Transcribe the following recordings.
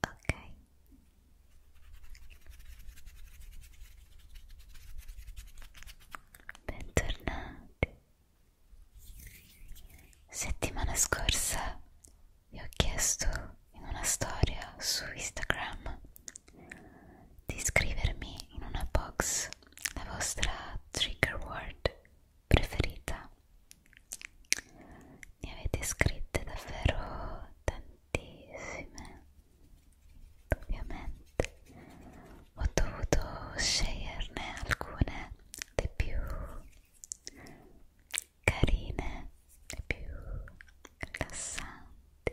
ok bentornati settimana scorsa vi ho chiesto in una storia su Instagram di scrivermi in una box la vostra trigger word preferita ne avete scritte davvero tantissime tantissime ovviamente ho dovuto sceglierne alcune le più carine le più rilassanti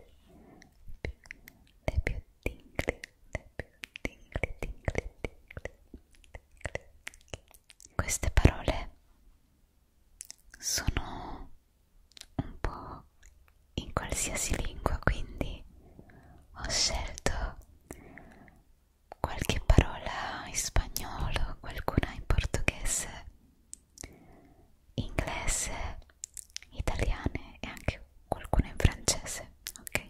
le più tingli le più tingli tingli tingli, tingli. queste parole sono un po' in qualsiasi lingua, quindi ho scelto qualche parola in spagnolo, qualcuna in portoghese, inglese, italiane e anche qualcuna in francese, ok?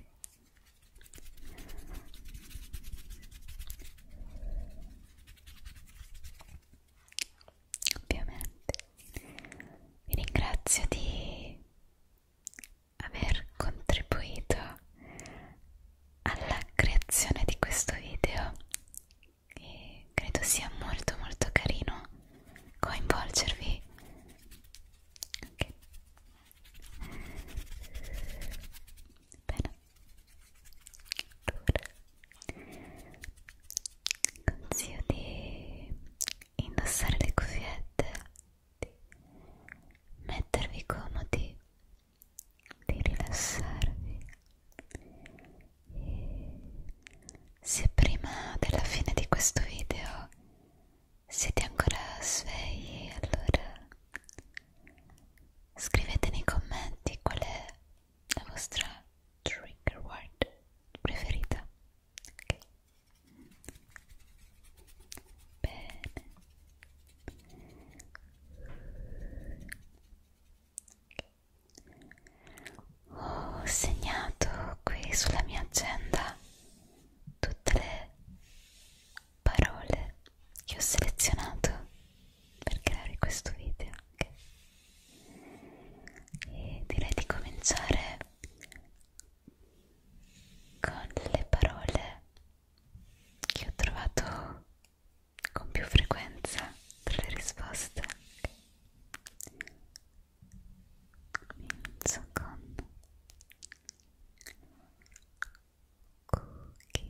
ovviamente vi ringrazio di aver contribuito alla creazione di questo video e credo sia molto molto carino coinvolgervi okay. bene consiglio di indossare le cuffiette di mettervi comodi di rilassarvi e se prima della fine di questo video siete ancora svegli allora scrivete nei commenti qual è la vostra trigger word preferita ok bene ho segnato qui sulla mia agenda tutte le parole che ho selezionato per creare questo video anche. e direi di cominciare con le parole che ho trovato con più frequenza tra le risposte comincio con cookies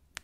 Scarlet,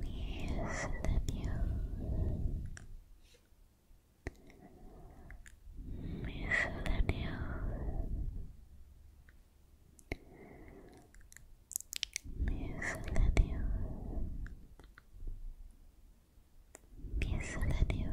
Here's the view. Here's the view. Here's the view. Here's the view. Here's the view.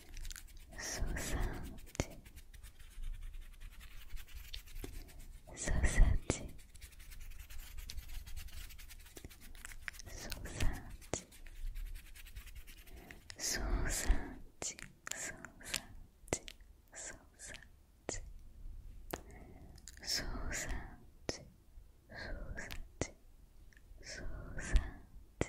soixante, soixante, soixante, soixante, soixante, soixante, soixante, soixante, soixante.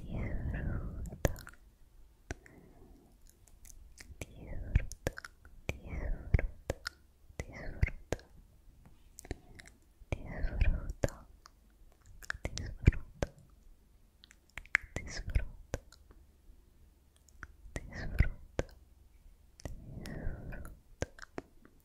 Diurdo, diurdo, diurdo, diurdo. Disfruto, disfruto, disfruto, disfruto,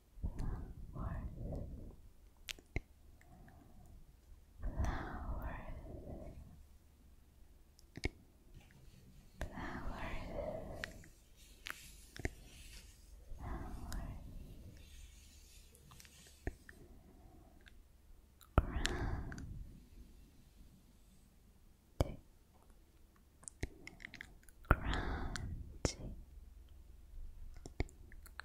flowers, flowers, flowers, flowers, Crunchy, crunchy,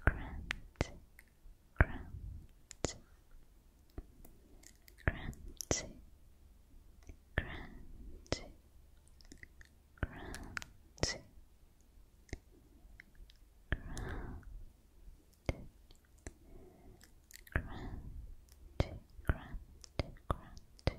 crunchy, crunchy, crunchy, crunchy, crunchy, crunchy, crunchy, crunchy,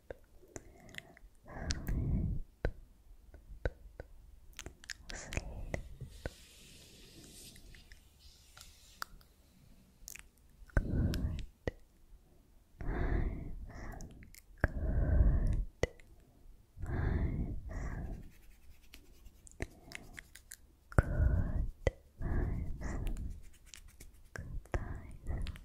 Good night. Good Good Good Good